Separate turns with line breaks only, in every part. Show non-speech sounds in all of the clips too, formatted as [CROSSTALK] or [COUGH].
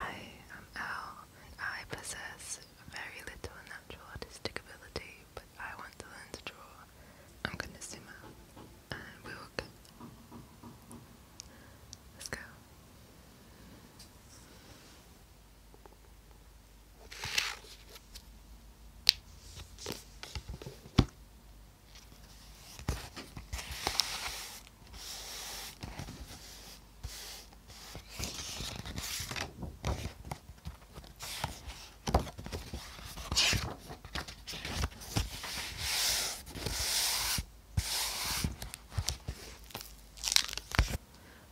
I am Al. I possess very little natural artistic ability, but I want to learn to draw. I'm gonna zoom out and we will go. Let's go.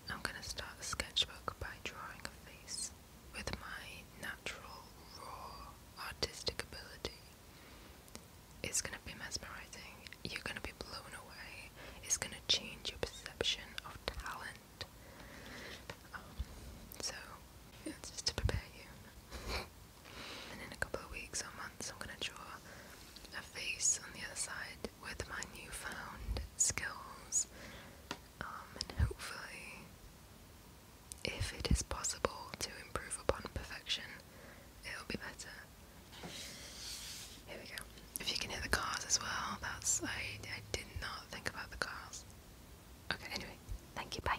I'm going to start a sketchbook by drawing a face with my natural, raw, artistic ability. It's gonna be mesmerizing. You're gonna be blown away. It's gonna change your perception of talent. Um, so, just to prepare you. and in a couple of weeks or months, I'm gonna draw a face on the other side with my newfound skills.
Um, and hopefully, if it is possible to improve upon
perfection, it'll be better. If you can hear the cars as well, that's. I, I did not think about the cars. Okay, anyway, thank you, bye.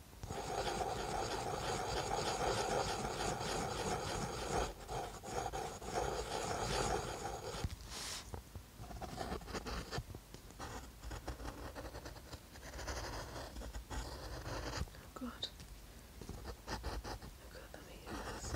Oh God. Oh God, let me hear this.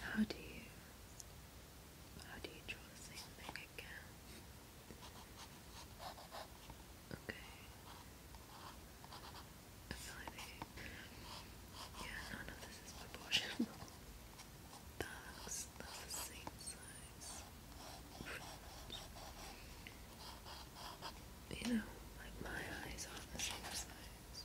How do you how do you draw the same thing again? Okay. yeah, none of
this is proportional. That [LAUGHS] that's the same size. You know, like my eyes aren't the same size.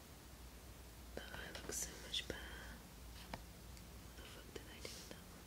The eye looks so much better. What the fuck did I do with that one?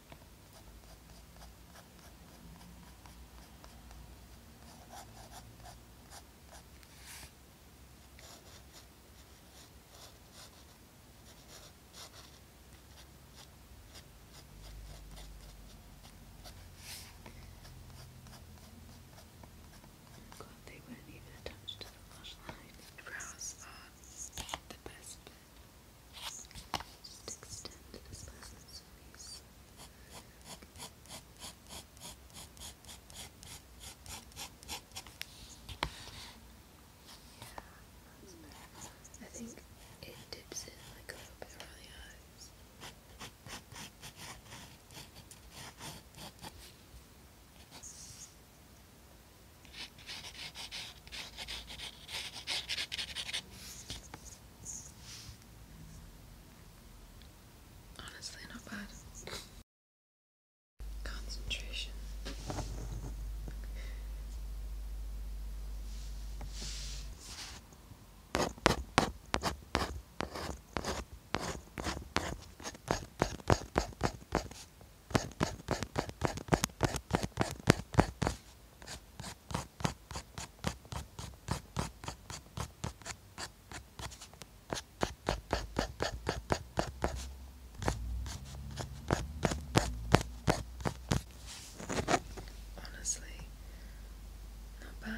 God, they weren't even attached to the lash line. The brows are uh, the best place. Just extend Yeah, I think it dips in like a little bit around the eyes.
Honestly, not bad.
Concentration. Honestly, not bad.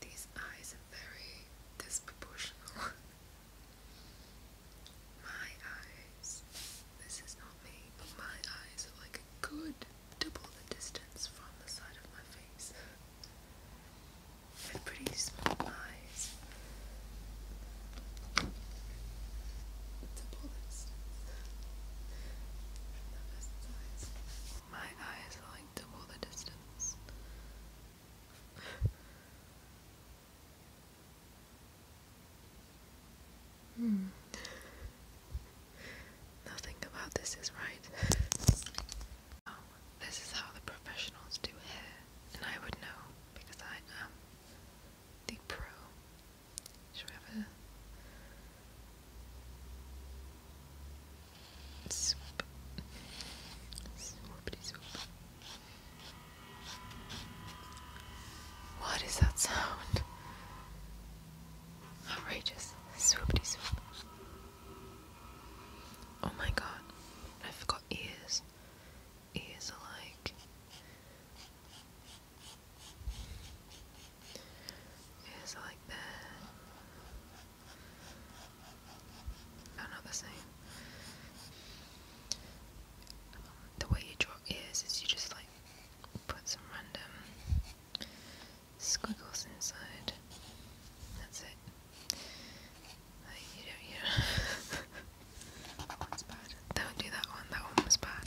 These eyes are very disproportional. [LAUGHS] my eyes. This is not me, but my eyes are like a good double the distance from the side of my face. They're pretty small eyes. Double the distance. My
eyes are like double the distance. Hmm.
Nothing about this is right. Oh, this is how the professionals do hair, and I would know because I am the pro.
Should we have a Swoop. Swoopity swoop.
What is that sound? Outrageous. Swoopity swoop. Oh my god. I forgot ears. Ears like. Ears like there. No, not the same. the way you draw ears is you just like put some random squiggles inside. That's it. Like you don't, you do [LAUGHS] bad. Don't do that one. That one was bad.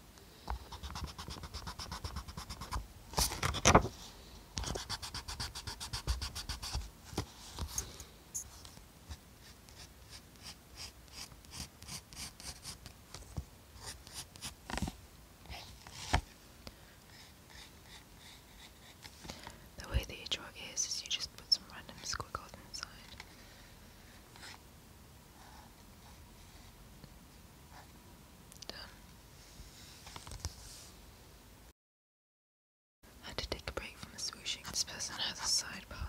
The way that you draw ears is you just put some random squiggles inside had to take a break from the swooshing. This person has a sidebar.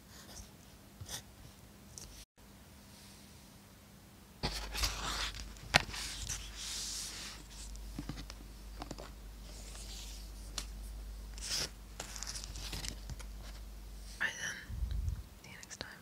Right then. See you next time.